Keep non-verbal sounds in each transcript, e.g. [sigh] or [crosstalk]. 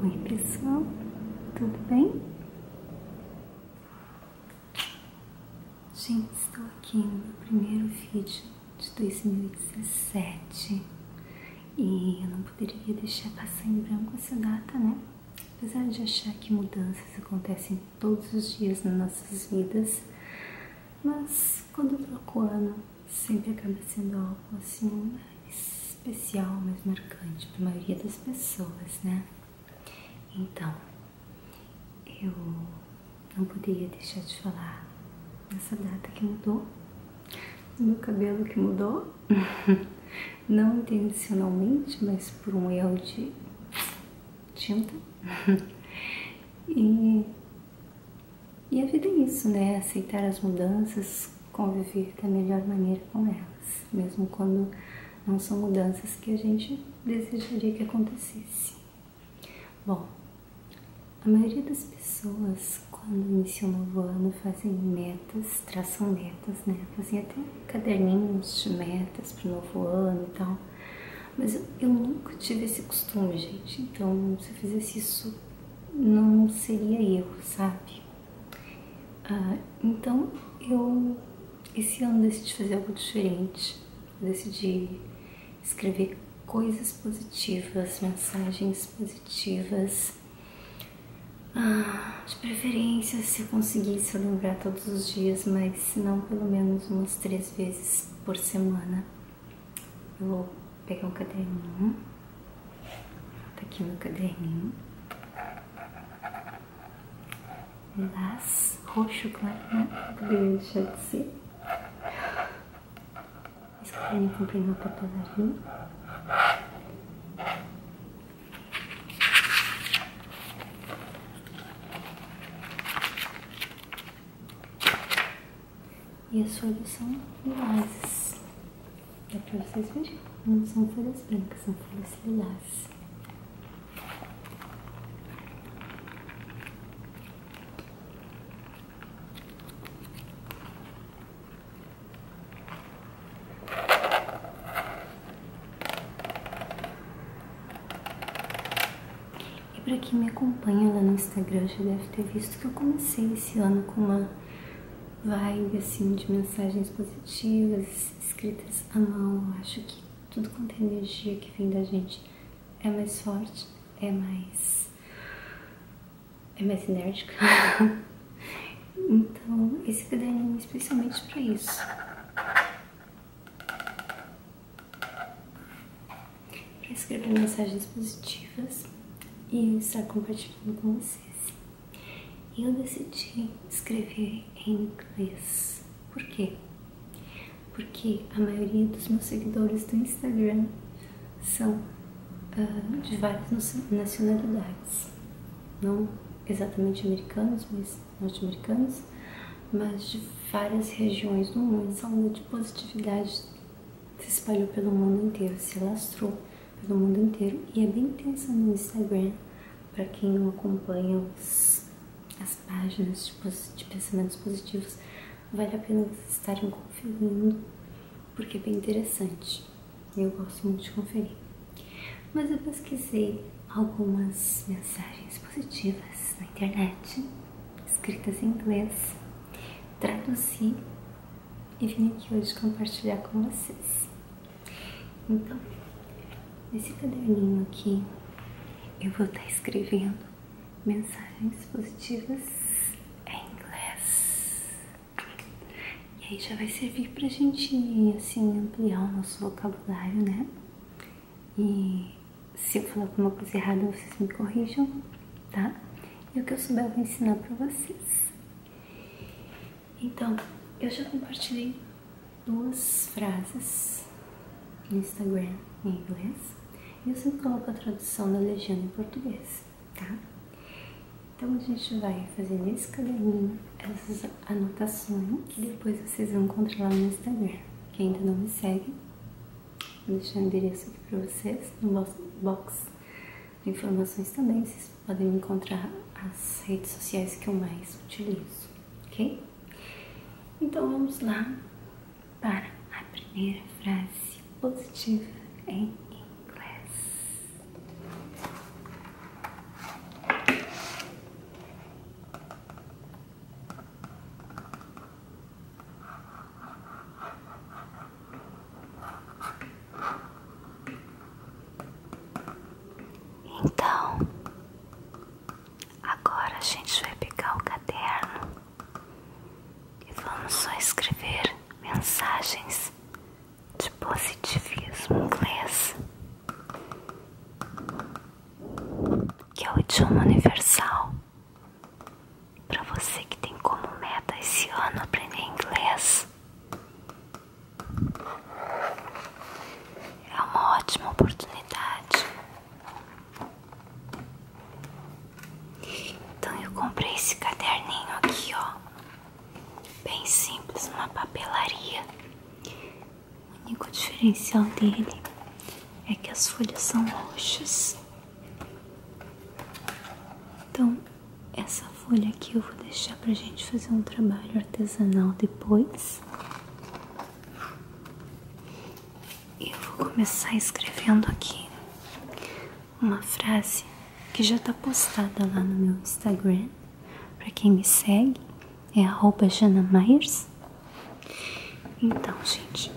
Oi, pessoal, tudo bem? Gente, estou aqui no meu primeiro vídeo de 2017 e eu não poderia deixar passar em branco essa data, né? Apesar de achar que mudanças acontecem todos os dias nas nossas vidas, mas quando troco o ano, sempre acaba sendo algo assim especial, mais marcante para a maioria das pessoas, né? Então, eu não poderia deixar de falar nessa data que mudou, no meu cabelo que mudou, [laughs] não intencionalmente, mas por um erro de tinta. [laughs] e, e a vida é isso, né? Aceitar as mudanças, conviver da melhor maneira com elas, mesmo quando não são mudanças que a gente desejaria que acontecesse. Bom, a maioria das pessoas, quando iniciam o novo ano, fazem metas tração metas, né? Fazia até caderninhos de metas para o novo ano e tal. Mas eu, nunca tive esse costume, gente. Então, se eu fizesse isso, não seria eu, sabe? Ah, então, eu esse ano decidi fazer algo diferente. decidi escrever coisas positivas, mensagens positivas ah, de preferência se eu conseguisse eu lembrar todos os dias, mas se não pelo menos umas três vezes por semana. Eu vou pegar um caderninho, tá aqui meu caderninho, lilás, roxo claro, né? Poderia deixar de ser. Esse caderninho comprei numa papelaria. E as folhas são lilás. É para vocês verem? Não são folhas brancas, são folhas lilás. E para quem me acompanha lá no Instagram já deve ter visto que eu comecei esse ano com uma vibe assim de mensagens positivas, escritas à mão. acho que tudo quanto é energia que vem da gente é mais forte, é mais. é mais enérgica. [laughs] Então, esse caderninho é especialmente para isso. Para escrever mensagens positivas e estar compartilhando com vocês. Eu decidi escrever em inglês. Por quê? Porque a maioria dos meus seguidores do Instagram são ah, de várias nacionalidades não exatamente americanos, mas norte-americanos, mas de várias regiões do mundo. Essa onda de positividade se espalhou pelo mundo inteiro, se alastrou pelo mundo inteiro e é bem intensa no Instagram. Para quem não acompanha as páginas de, de pensamentos positivos, vale a pena vocês estarem conferindo, porque é bem interessante. Eu gosto muito de conferir. Mas eu pesquisei algumas mensagens positivas na internet, escritas em inglês, traduzi e vim aqui hoje compartilhar com vocês. Então, nesse caderninho aqui, eu vou estar escrevendo mensagens positivas em inglês. E aí já vai servir pra gente, assim, ampliar o nosso vocabulário, né? E se eu falar alguma coisa errada, vocês me corrijam, tá? E o que eu souber eu vou ensinar pra vocês. Então, eu já compartilhei duas frases no Instagram em inglês e eu sempre coloco a tradução da legenda em português, tá? Então a gente vai fazer nesse caderninho essas anotações que depois vocês vão encontrar lá no Instagram. Quem ainda não me segue, vou deixar o endereço aqui para vocês no box de informações também. Vocês podem encontrar as redes sociais que eu mais utilizo, ok? Então vamos lá para a primeira frase positiva em inglês. Então, agora a gente vai pegar o caderno e vamos só escrever mensagens de positivismo inglês, que é o idioma universal para você que tem como meta esse ano aprender inglês. É uma ótima oportunidade. Então eu comprei esse caderninho aqui, ó bem simples, uma papelaria. O único diferencial dele é que as folhas são roxas. Então, essa folha aqui eu vou deixar para a gente fazer um trabalho artesanal depois. Eu vou começar escrevendo aqui uma frase que já está postada lá no meu Instagram. Para quem me segue, é arroba Jana Myers. Então, gente,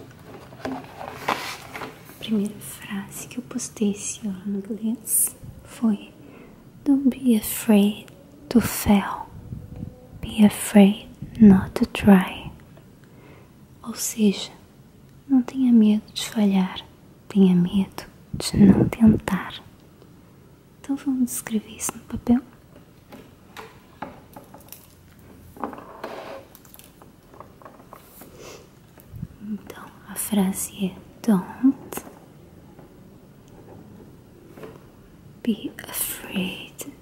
a primeira frase que eu postei esse ano em inglês foi Don't be afraid to fail. Be afraid not to try. Ou seja, não tenha medo de falhar, tenha medo de não tentar. Então vamos escrever isso no papel. Então a frase é Don't be afraid.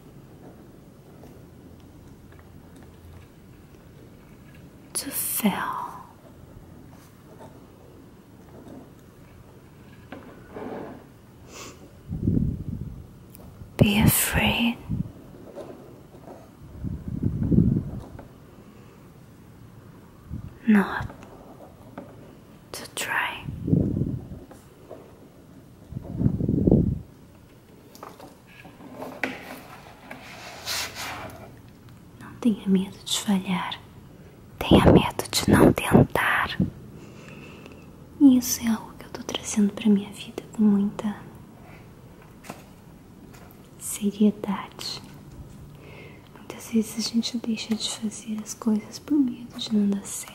To fail. Be afraid. Not to try. Não tenha medo de falhar, tenha medo de não tentar. isso é algo que eu estou trazendo para minha vida com muita seriedade. Muitas vezes a gente deixa de fazer as coisas por medo de não dar certo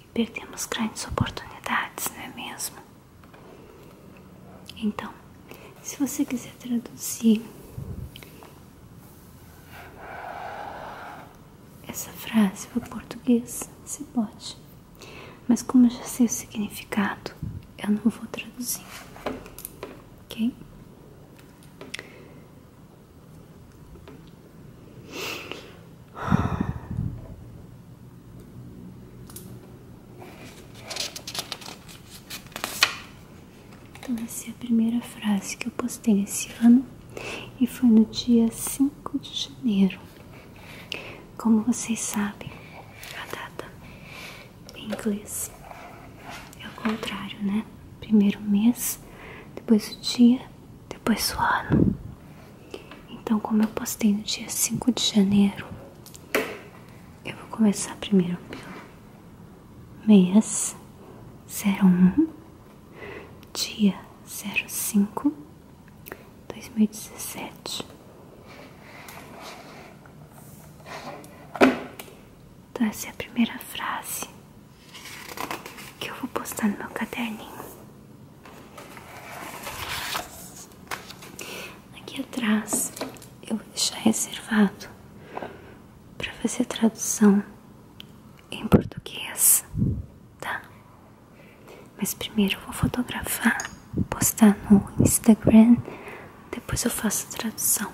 e perdemos grandes oportunidades, não é mesmo? Então, se você quiser traduzir essa frase para o português, você pode. Mas como eu já sei o significado, eu não vou traduzir. Ok? Então essa é a primeira frase que eu postei nesse ano e foi no dia 5 de janeiro. Como vocês sabem, a data em inglês é o contrário, né? Primeiro mês, depois o dia, depois o ano. Então, como eu postei no dia 5 de janeiro, eu vou começar primeiro pelo mês 01, dia 05, 2017. Então, essa é a primeira frase que eu vou postar no meu caderninho. Aqui atrás eu vou deixar reservado para fazer tradução em português, tá? Mas primeiro eu vou fotografar, postar no Instagram, depois eu faço a tradução.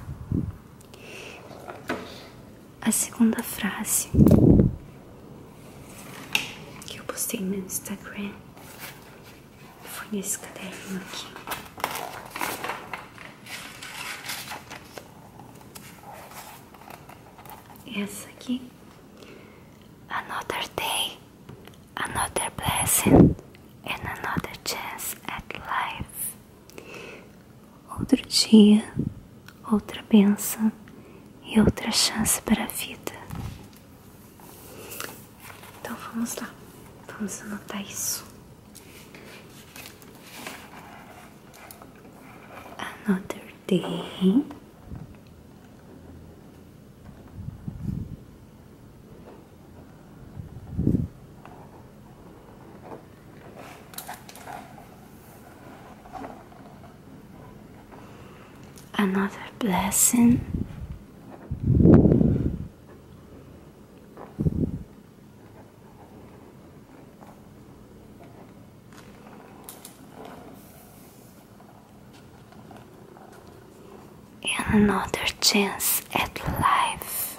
A segunda frase que eu postei no Instagram foi nesse caderno aqui. Essa aqui. Another day, another blessing, and another chance at life. Outro dia, outra benção e outra chance para a vida. Então vamos lá, vamos anotar isso. Another day. another blessing. And another chance at life.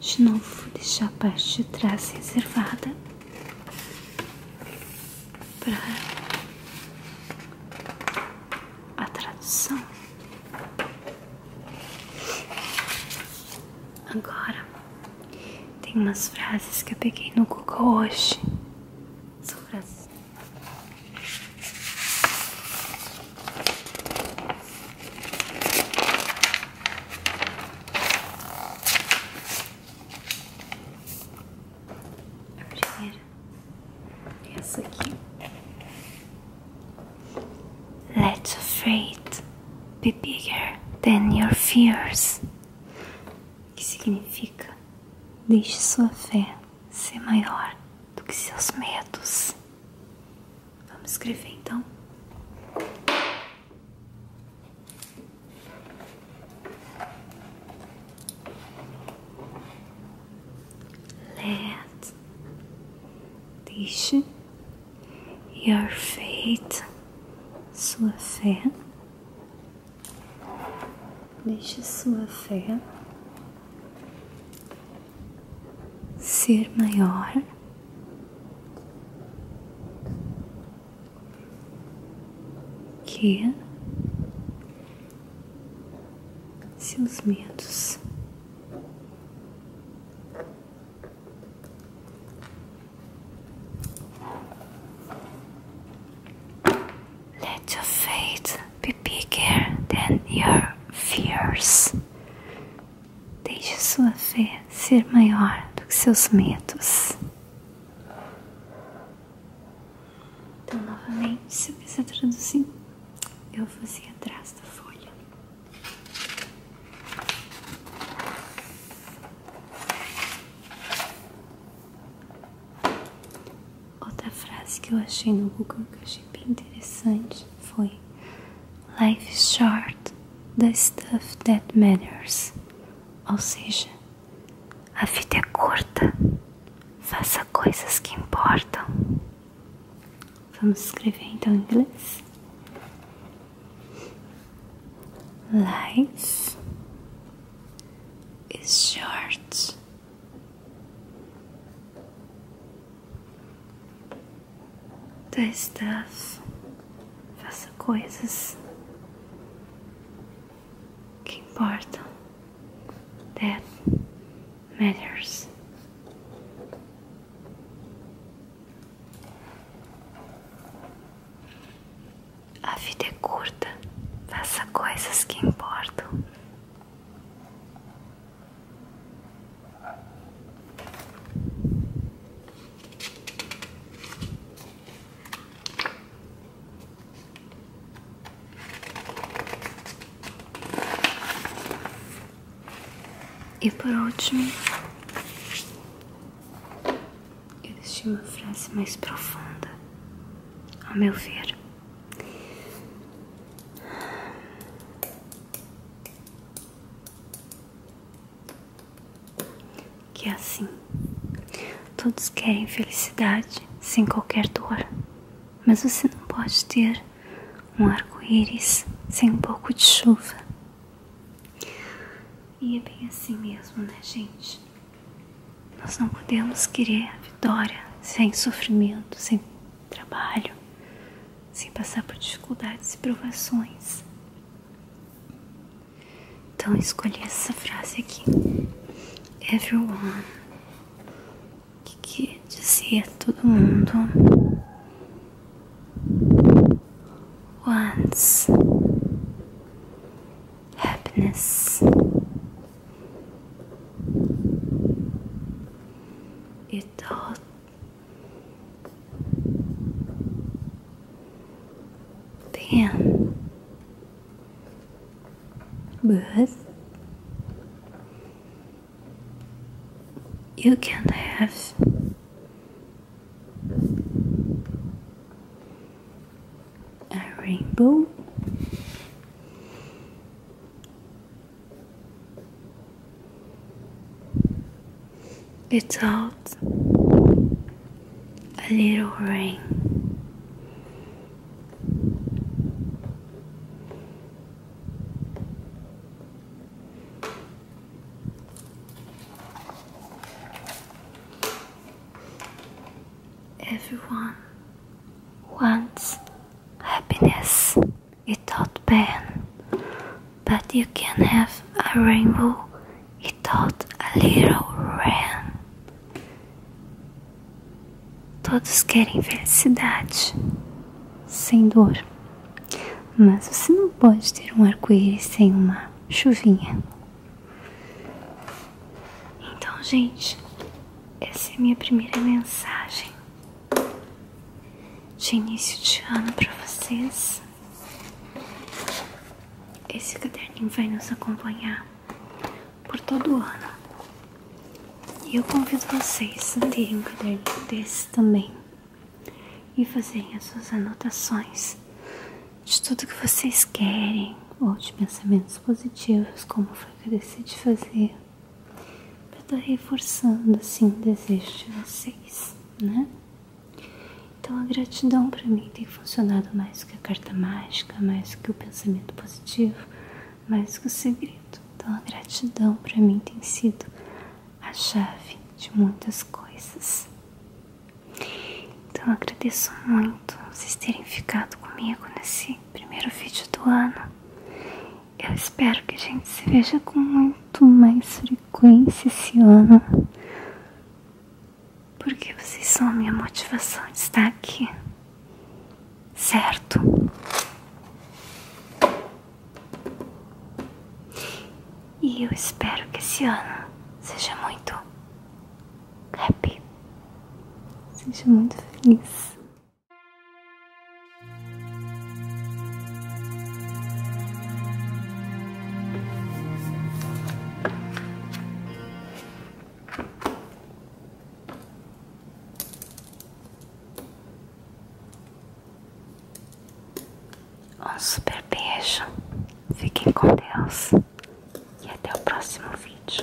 De novo, deixar a parte de trás reservada para a tradução. Agora, tem umas frases que eu peguei no Google hoje. A primeira é essa aqui. Let your faith be bigger than your fears. Que significa deixe sua fé ser maior do que seus medos. Vamos escrever então. Let deixe your faith, sua fé, deixe sua fé ser maior que seus medos Let your faith be bigger than your fears. Deixe sua fé ser maior do que seus medos. Então, novamente, se eu quiser traduzir, eu vou assim atrás da folha. Outra frase que eu achei no Google que eu achei bem interessante foi Life is short, the stuff that matters. Ou seja, a vida é curta, faça coisas que importam. Vamos escrever então em inglês. Life is short. Do stuff Faça coisas que importam. That matters. A vida é curta. Faça coisas que importam. E por último, eu deixei uma frase mais profunda, ao meu ver que é assim. Todos querem felicidade sem qualquer dor, mas você não pode ter um arco-íris sem um pouco de chuva. E é bem assim mesmo, né, gente? Nós não podemos querer a vitória sem sofrimento, sem trabalho, sem passar por dificuldades e provações. Então escolhi essa frase aqui. Everyone. Que, dizia todo mundo. Once. Happiness. It all Damn. But you can have a rainbow. It's out a little rain. Everyone wants happiness without pain But you can have a rainbow without a little rain. Todos querem felicidade, sem dor. Mas você não pode ter um arco-íris sem uma chuvinha. Então, gente, essa é minha primeira mensagem de início de ano para vocês. Esse caderninho vai nos acompanhar por todo o ano. E eu convido vocês a terem um caderninho desse também e fazerem as suas anotações de tudo que vocês querem ou de pensamentos positivos, como foi que eu decidi fazer. Pra estar reforçando assim o desejo de vocês, né? Então a gratidão para mim tem funcionado mais que a carta mágica, mais que o pensamento positivo, mais que o segredo. Então a gratidão para mim tem sido a chave de muitas coisas. Então eu agradeço muito vocês terem ficado comigo nesse primeiro vídeo do ano. Eu espero que a gente se veja com muito mais frequência esse ano. Porque vocês são minha motivação de estar aqui, certo? E eu espero que esse ano seja muito happy, seja muito feliz. Um super beijo, fiquem com Deus e até o próximo vídeo.